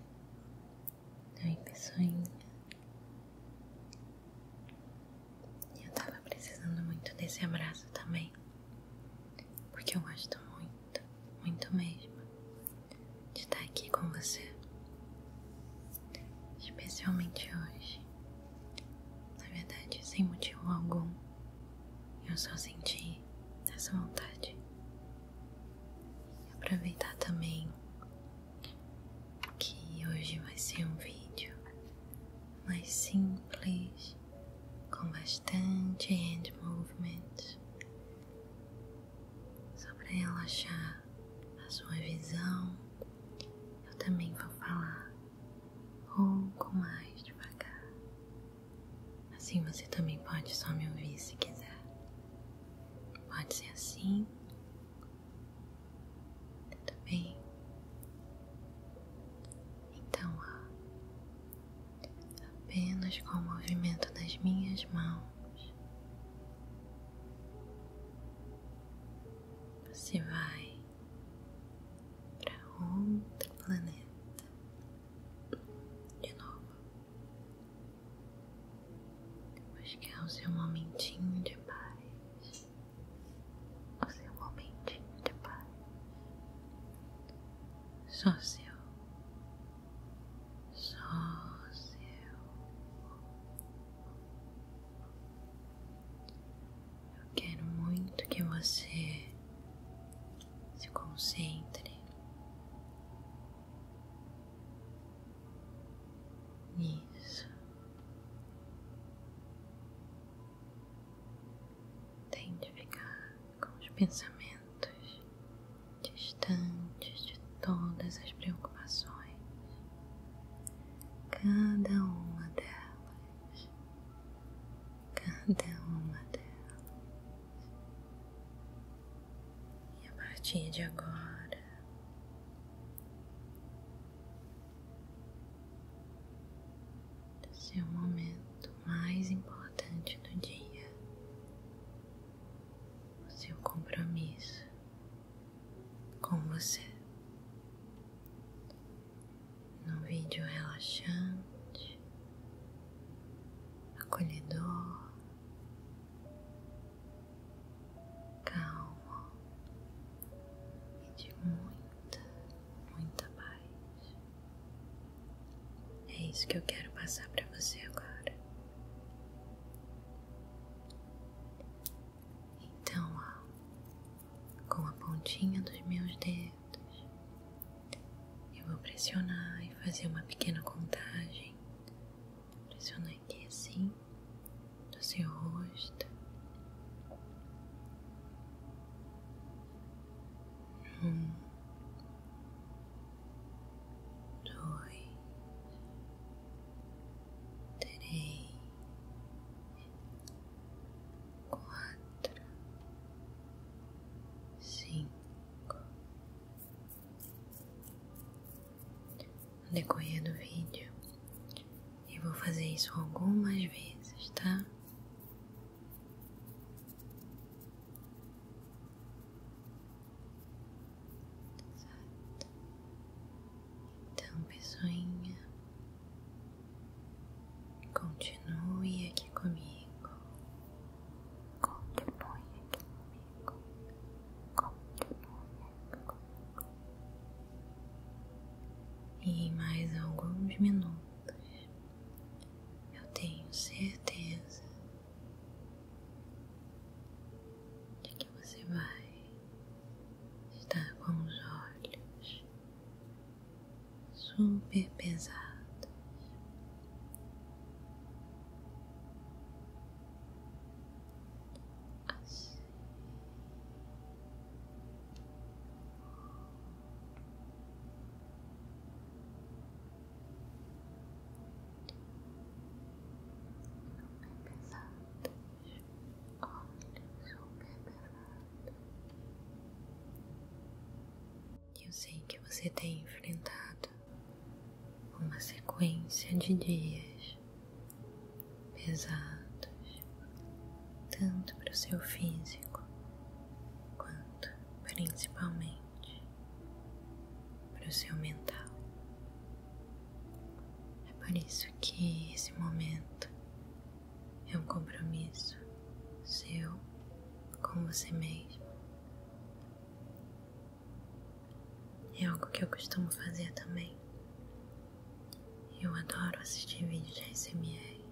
Tá aí, pessoinha. Eu tava precisando muito desse abraço também. Porque eu gosto muito, muito mesmo, de estar aqui com você. Especialmente hoje. Na verdade, sem motivo algum, eu só senti essa vontade e aproveitar também que hoje vai ser um vídeo mais simples, com bastante hand movement, só para relaxar a sua visão. Eu também vou falar um pouco mais devagar. Assim você também pode só me ouvir se quiser. Pode ser assim. Tudo bem? Então, apenas com o movimento das minhas mãos, você vai para outro planeta de novo. Depois que é o seu momentinho de paz, o seu momentinho de paz, só seu, só seu. Eu quero muito que você se concentre isso. Tente ficar com os pensamentos distantes de todas as preocupações, cada uma delas, cada uma delas. E a partir de agora, esse é momento mais importante do dia, o seu compromisso com você. Num vídeo relaxante, acolhedor Calma e de muita, muita paz. É isso que eu quero passar para você agora. Então, ó, com a pontinha dos meus dedos, eu vou pressionar e fazer uma pequena contagem pressiona aqui assim do seu rosto, um, dois, três, quatro, cinco no decorrer do vídeo. e vou fazer isso algumas vezes, tá? Então, pessoinha, continue aqui comigo, continue aqui comigo. E em mais alguns minutos eu tenho certeza de que você vai estar com os olhos super pesados assim. Super pesado, olha, super pesado. Eu sei que você tem enfrentado uma sequência de dias pesados, tanto para o seu físico quanto principalmente para o seu mental. É por isso que esse momento é um compromisso seu com você mesmo é algo que eu costumo fazer também. Eu adoro assistir vídeos de ASMR.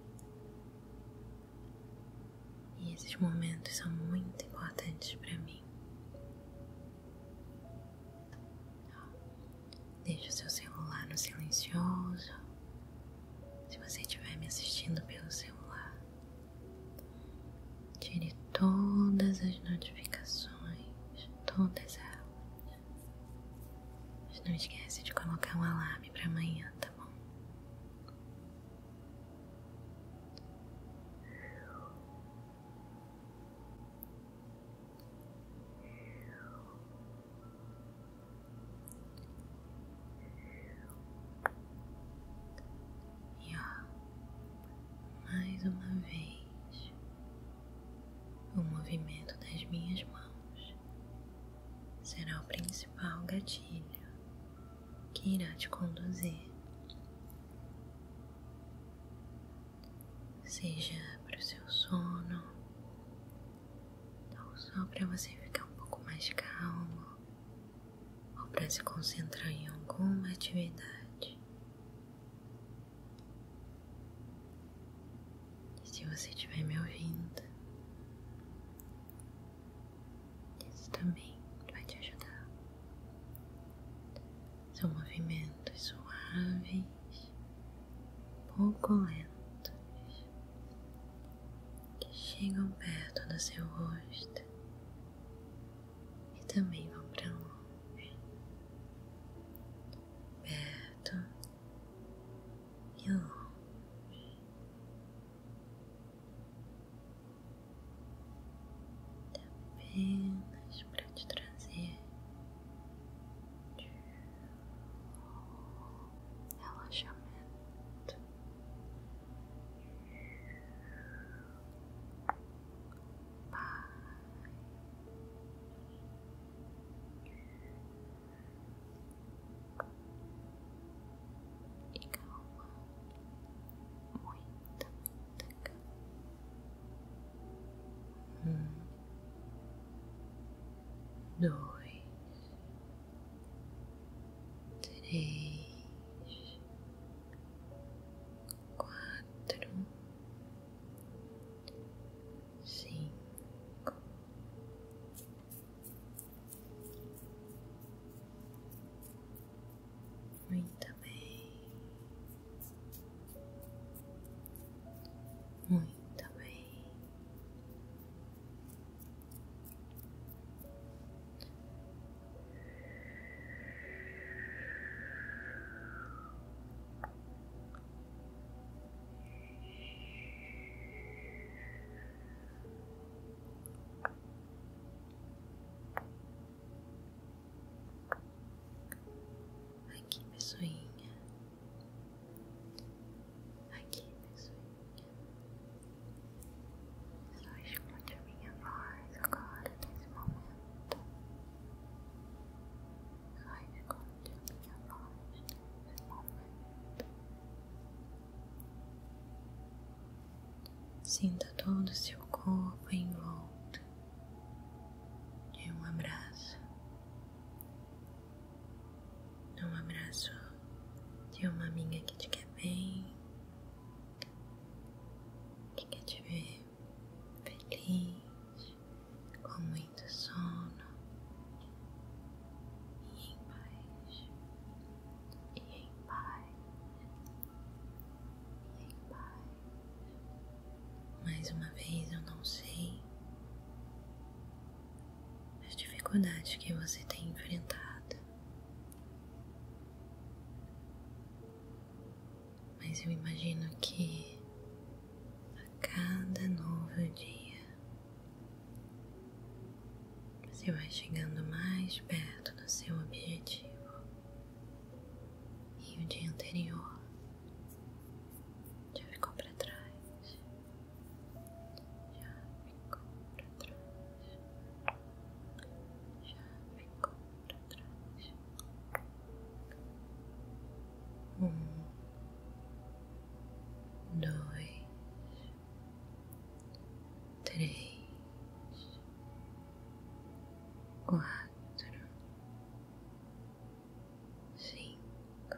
E esses momentos são muito importantes para mim. Deixe o seu celular no silencioso. Se você estiver me assistindo pelo celular, Tire todas as notificações, todas elas. não esquece de colocar um alarme para amanhã, tá bom? E ó, mais uma vez, o movimento das minhas mãos será o principal gatilho que irá te conduzir. Seja para o seu sono, ou só para você ficar um pouco mais calmo ou para se concentrar em alguma atividade. E se você estiver me ouvindo, isso também vai te ajudar. São movimentos é suaves, pouco lentos, que chegam perto do seu rosto e também vão para longe, perto e longe. Tá apenas para te trazer relaxamento. Pai. E calma, muita, calma. Um, dois, três, quatro, cinco, muito bem, muito bem. Aqui, pessoinha. Aqui, pessoinha. Só escute a minha voz agora, nesse momento. Só escute a minha voz nesse momento. Sinta todo o seu corpo em de um abraço. Um abraço de uma amiga que te quer bem, que quer te ver feliz, com muito sono e em paz, e em paz, e em paz. Mais uma vez, eu não sei as dificuldades que você tem enfrentado. Mas eu imagino que a cada novo dia você vai chegando mais perto do seu objetivo. E o dia anterior já ficou para trás. Já ficou para trás. Já ficou um, dois, três, quatro, cinco,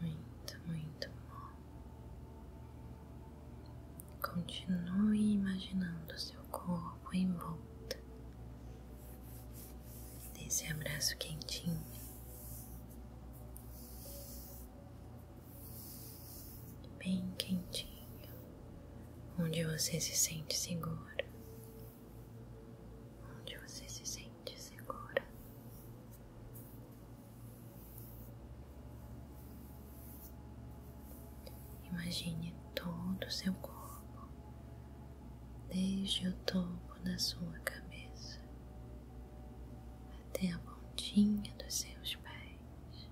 Muito, muito bom. Continue imaginando seu corpo envolto nesse abraço quentinho bem quentinho, onde você se sente segura, onde você se sente segura. Imagine todo o seu corpo, desde o topo da sua cabeça até a pontinha dos seus pés,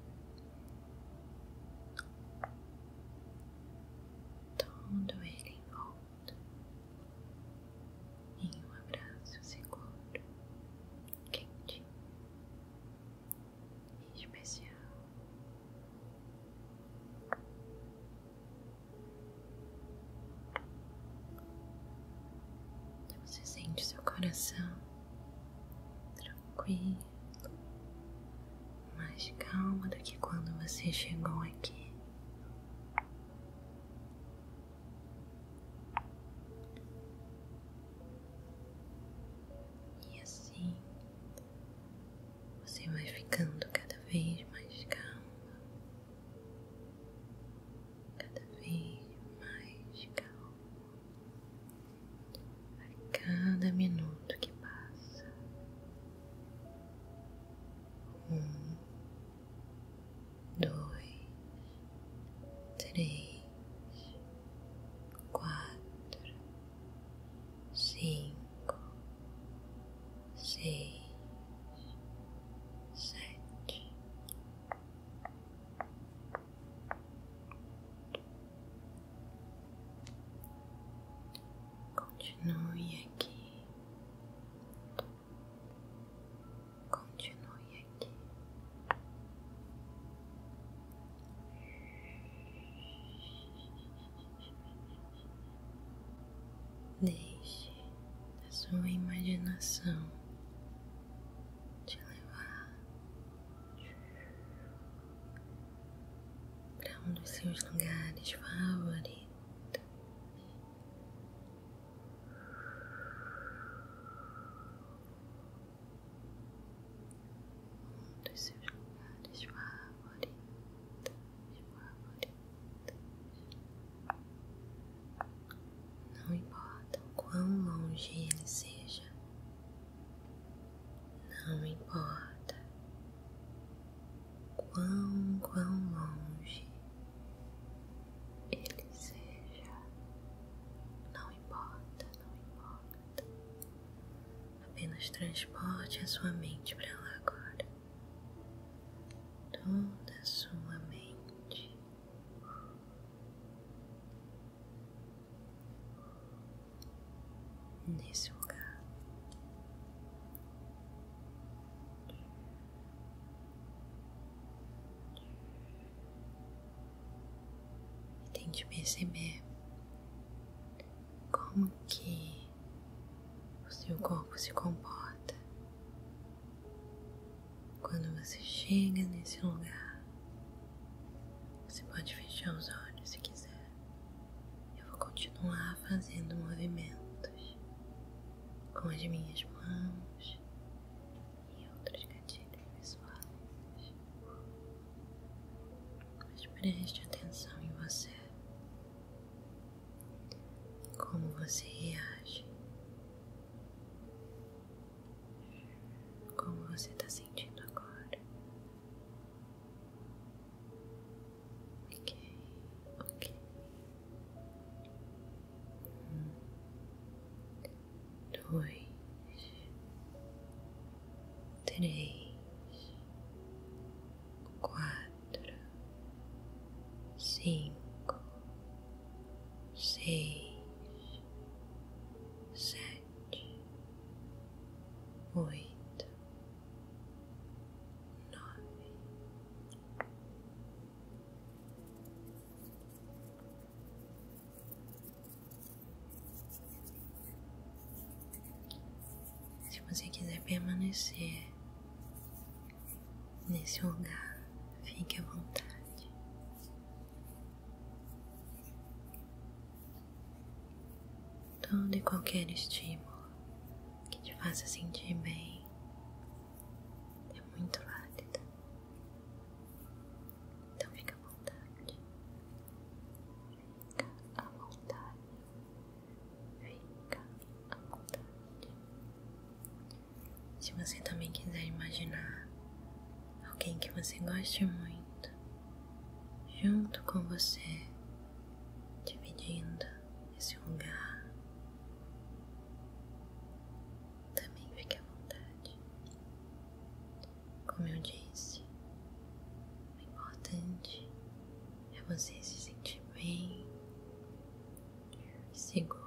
todo ele envolto em um abraço seguro, quentinho e especial. Então você sente seu coração tranquilo, mais calmo do que quando você chegou aqui. E assim você vai ficando cada vez mais calmo cada vez mais calmo a cada minuto que passa. Um, dois, três, quatro, cinco, seis, sete. Continue aqui, continue aqui. Deixe a sua imaginação te levar para um dos seus lugares favoritos. Um dos seus lugares favoritos, favoritos não importa o quão longe ele seja, não importa quão, quão longe ele seja, não importa, não importa, apenas transporte a sua mente para lá agora, toda a sua mente nesse lugar. tem tente perceber como que o seu corpo se comporta quando você chega nesse lugar, você pode fechar os olhos se quiser. Eu vou continuar fazendo movimentos com as minhas mãos e outros gatilhos pessoais. Mas preste atenção em você. Como você reage como você está sentindo agora? Um, dois, três, quatro, cinco seis, sete, oito, nove. Se você quiser permanecer nesse lugar, fique à vontade. Todo e qualquer estímulo que te faça sentir bem é muito válido. Então fica à vontade. Fica à vontade. Fica à vontade. Se você também quiser imaginar alguém que você goste muito junto com você, dividindo esse lugar, também fique à vontade. Como eu disse, o importante é você se sentir bem e seguro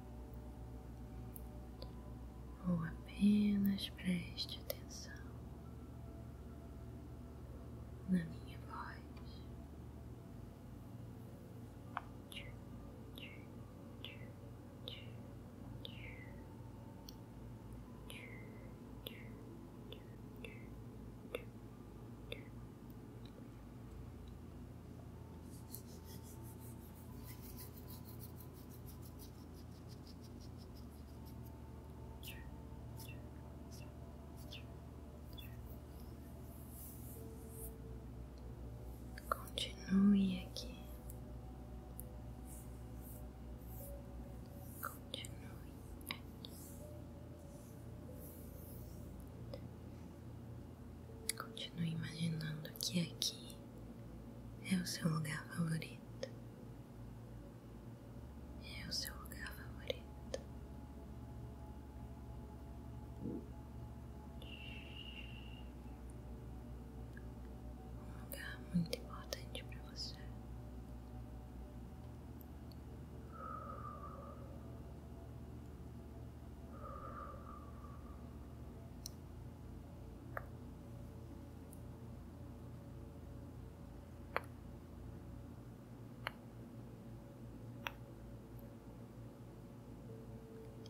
ou apenas preste atenção na minha voz. Relaxe Continue aqui. Continue aqui. Continue imaginando que aqui é o seu lugar favorito. É o seu lugar favorito. Um lugar muito importante para você.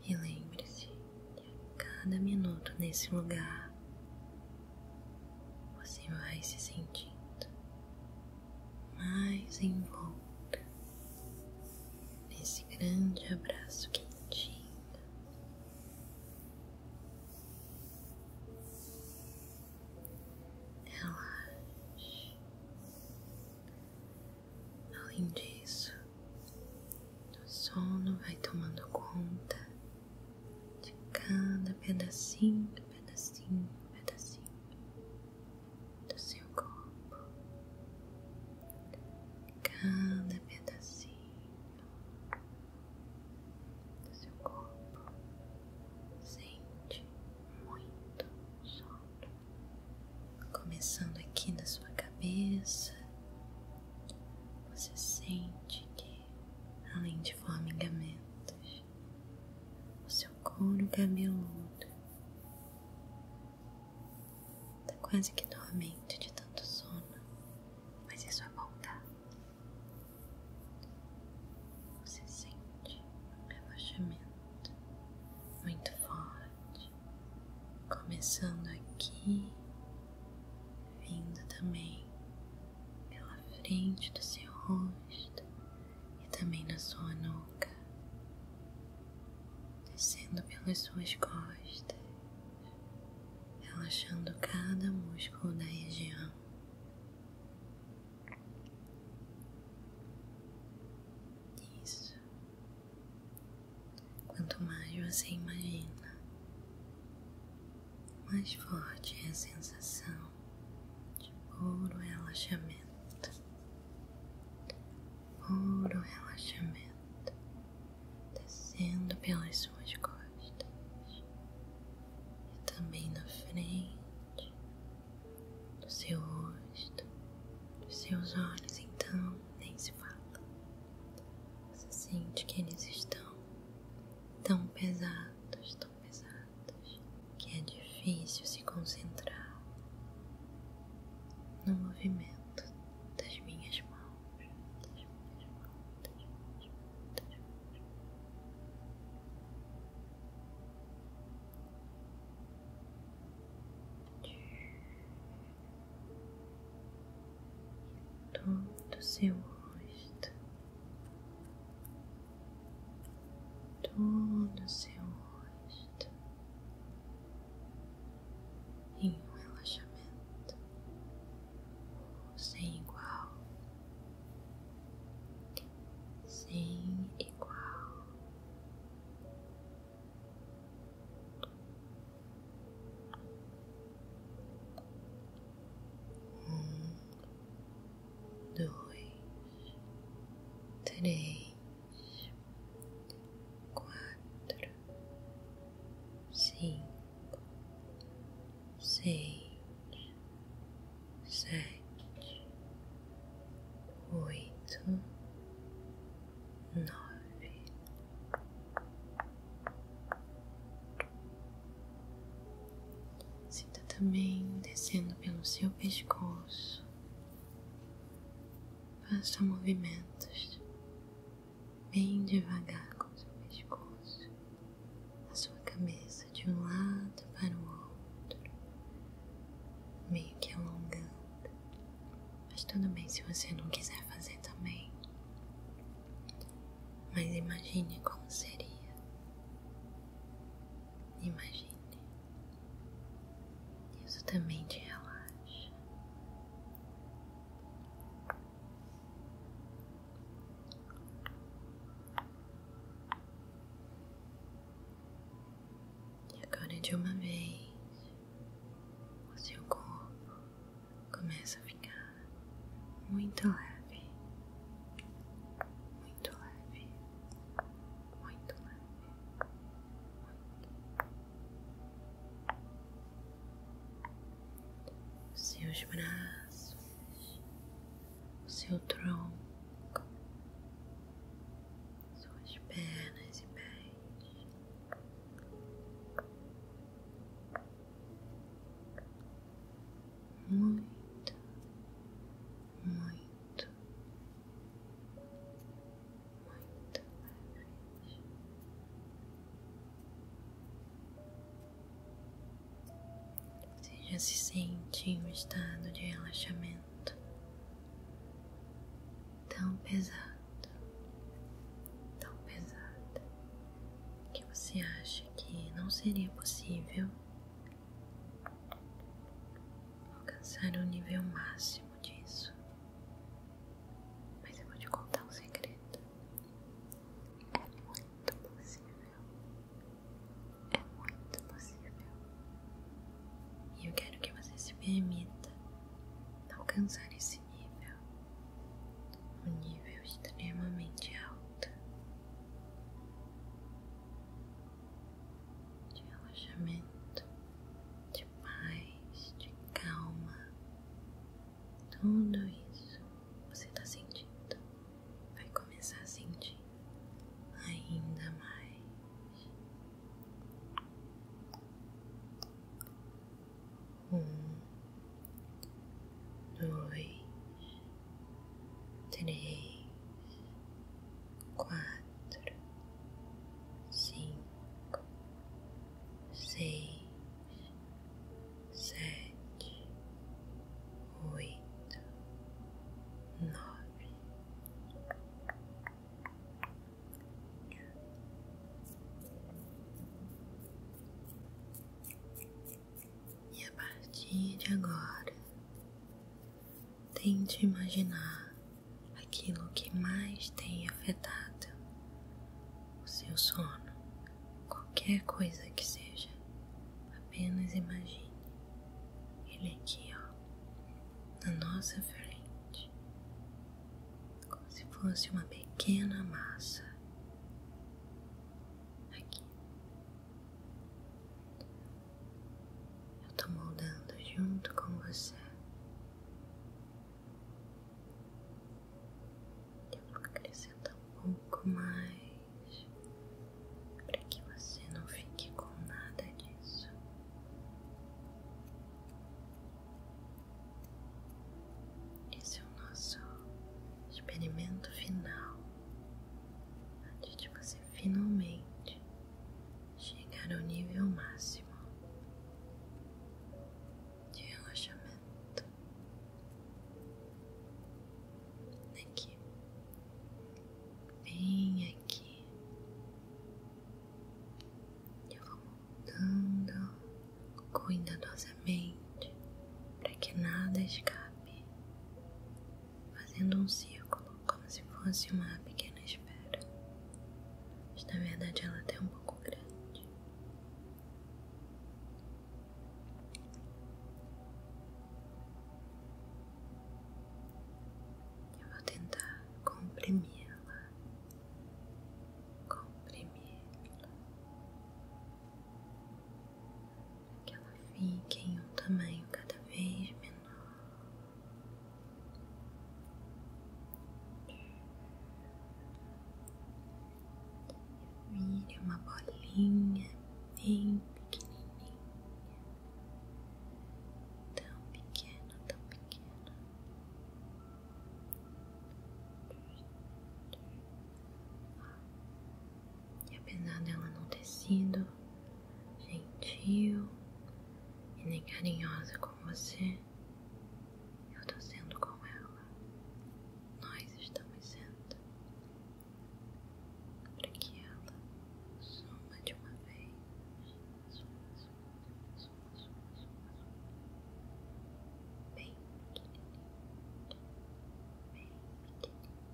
E lembre-se que a cada minuto nesse lugar você vai se sentindo mais envolta nesse grande abraço quentinho. Relaxe. Além disso, o sono vai tomando conta de cada pedacinho, pedacinho, pedacinho do seu corpo, cada pedacinho do seu corpo sente muito sono, começando aqui na sua cabeça. Você sente que, além de formigamentos, o seu couro cabeludo Tá quase que dormente de tanto sono, mas isso é bom, tá? Você sente um relaxamento muito forte, começando aqui, vindo também pela frente do seu rosto e também na sua nuca descendo pelas suas costas, relaxando cada músculo da região. Isso. Quanto mais você imagina, mais forte é a sensação de puro relaxamento puro relaxamento descendo pelas suas costas e também na frente do seu rosto, dos seus olhos. Então, nem se fala, você sente que eles estão tão pesados, tão pesados, que é difícil se concentrar no movimento das minhas mãos, das minhas mãos, das minhas mãos, das minhas mãos. Todo o seu rosto, todo seu rosto, em um relaxamento sem igual, sem igual. Um, dois, três quatro, cinco, seis, sete, oito, nove. Sinta também descendo pelo seu pescoço. Faça movimentos bem devagar com seu pescoço, a sua cabeça de um lado para o outro, meio que alongando. Mas tudo bem se você não quiser fazer também. Mas imagine como seria. Imagine. Isso também te relaxa. E agora de uma vez o seu corpo começa a ficar muito leve, muito leve, muito leve seus braços, seu tronco, suas pernas e pés. Muito, muito, muito para Você já se sente em um estado de relaxamento tão pesado, tão pesado, que você acha que não seria possível alcançar o nível máximo disso. Mas eu vou te contar um segredo. É muito possível. É muito possível. E eu quero que você se permita alcançar esse nível. Um nível extremamente alto. De relaxamento, de de de calma. Tudo isso você está sentindo, vai começar a sentir ainda mais. Um, dois, três, quatro quatro, cinco, seis, sete, oito, nove. E a partir de agora, tente imaginar aquilo que mais tem afetado o seu sono, qualquer coisa que seja. Apenas imagine ele aqui, ó, na nossa frente, como se fosse uma pequena massa. Aqui. Eu tô moldando junto com você eu vou acrescentar um pouco mais para que você não fique com nada disso. Esse é o nosso experimento final antes de você finalmente chegar ao nível máximo de relaxamento aqui, bem aqui. Eu vou montando cuidadosamente para que nada escape, fazendo um círculo como se fosse uma pequena esfera, mas na verdade ela é até um pouco grande. Eu vou tentar comprimi-la, comprimi-la, para que ela fique em um tamanho cada vez menor. Vire uma bolinha bem pequenininha, tão pequena, tão pequena. E apesar dela não ter sido gentil e nem carinhosa com você, eu tô sendo com ela. Nós estamos sendo. Para que ela suma de uma vez. Suma, suma, suma, suma, suma, Bem pequenininha. Bem pequenininha.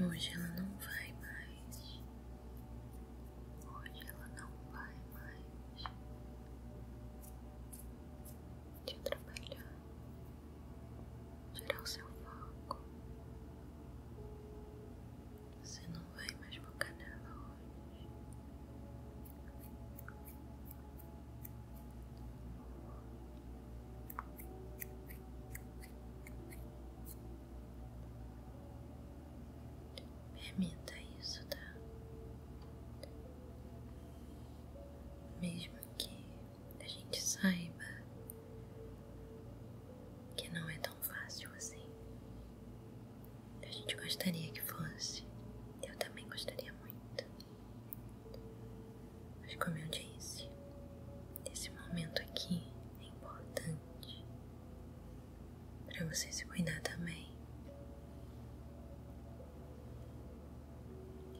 Hoje ela não vai mais Hoje ela não vai mais te atrapalhar, tirar o seu foco. Você não vem mais focar nela hoje. Permita isso, tá? Mesmo que a gente saiba que não é tão fácil assim. A gente gostaria que fosse. Eu também gostaria muito. Mas como eu disse, esse momento aqui é importante para você se cuidar também.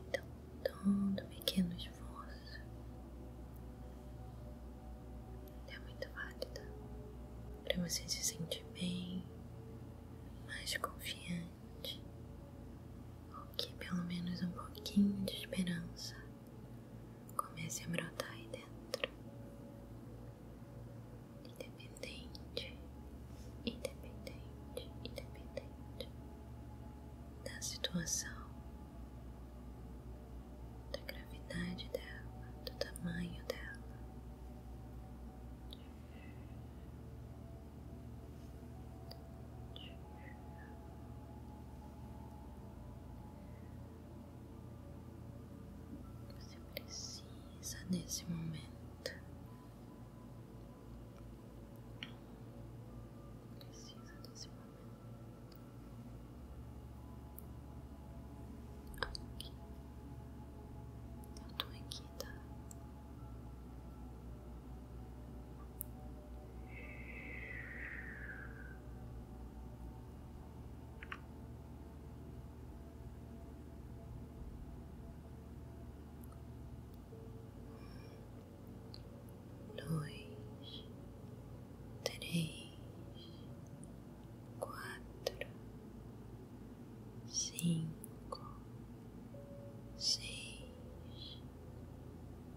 Então, todo pequeno esforço é muito válido para você se sentir bem, mais confiante, ou que pelo menos um pouquinho de esperança comece a brotar aí dentro independente, independente, independente da situação, da gravidade dela, do tamanho dela. Você precisa nesse momento, precisa desse momento. Aqui, eu tô aqui, tá? dois, três, quatro, cinco, seis,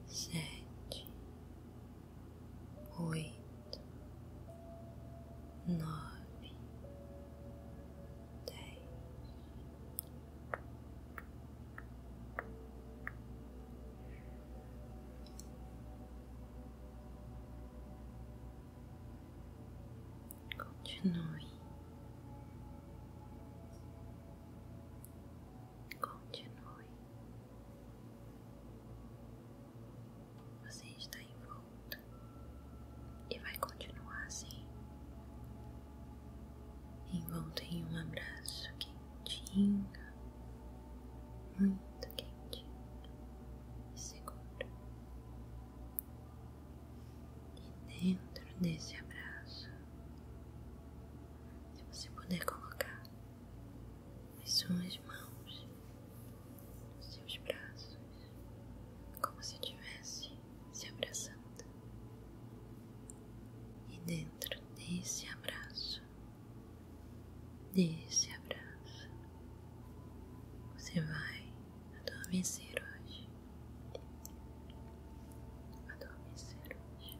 sete, oito nove, dez, continue, continue. Você está em volta e vai continuar assim, envolta em um abraço quentinho, muito quentinho e seguro. E dentro desse abraço, se você puder colocar as suas mãos, nos seus braços como se estivesse se abraçando, e dentro desse abraço, desse abraço, você vai adormecer hoje, adormecer hoje.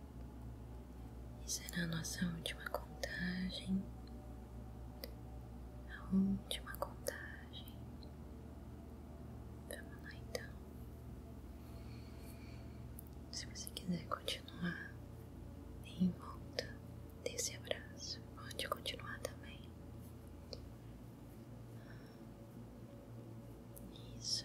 E será a nossa última contagem. A última contagem. Vamos lá então. Se você quiser continuar em volta desse abraço, pode continuar também. Isso.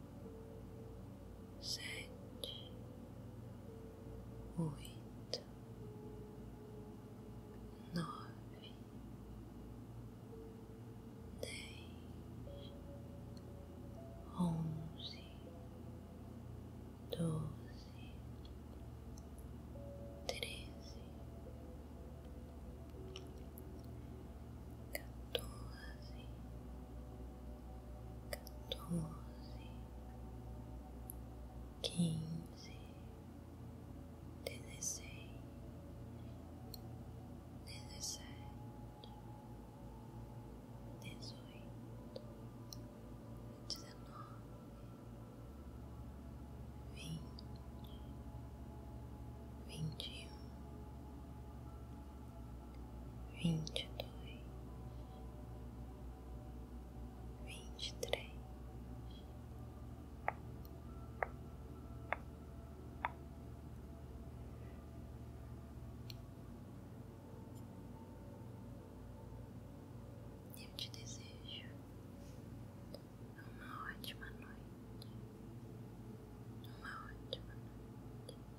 sete, oito, nove, dez, onze, doze, treze, quatorze quatorze, quinze, dezesseis, dezessete, dezoito, dezenove, vinte, vinte e um vinte e dois, vinte e três, eu te desejo uma ótima noite, uma ótima noite.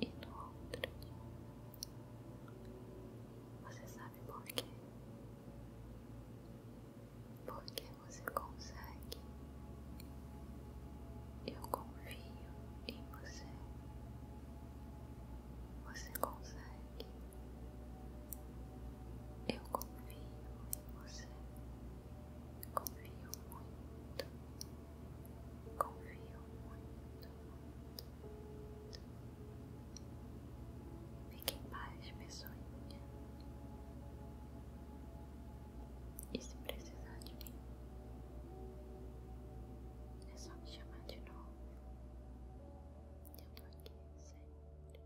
e no outro. Você sabe por quê? Porque você consegue. Eu confio em você. Você consegue. Eu confio em você. Confio muito. Confio muito, muito, Fique em paz, pessoinha. E se precisar de mim, é só me chamar de novo. Eu tô aqui sempre, sempre.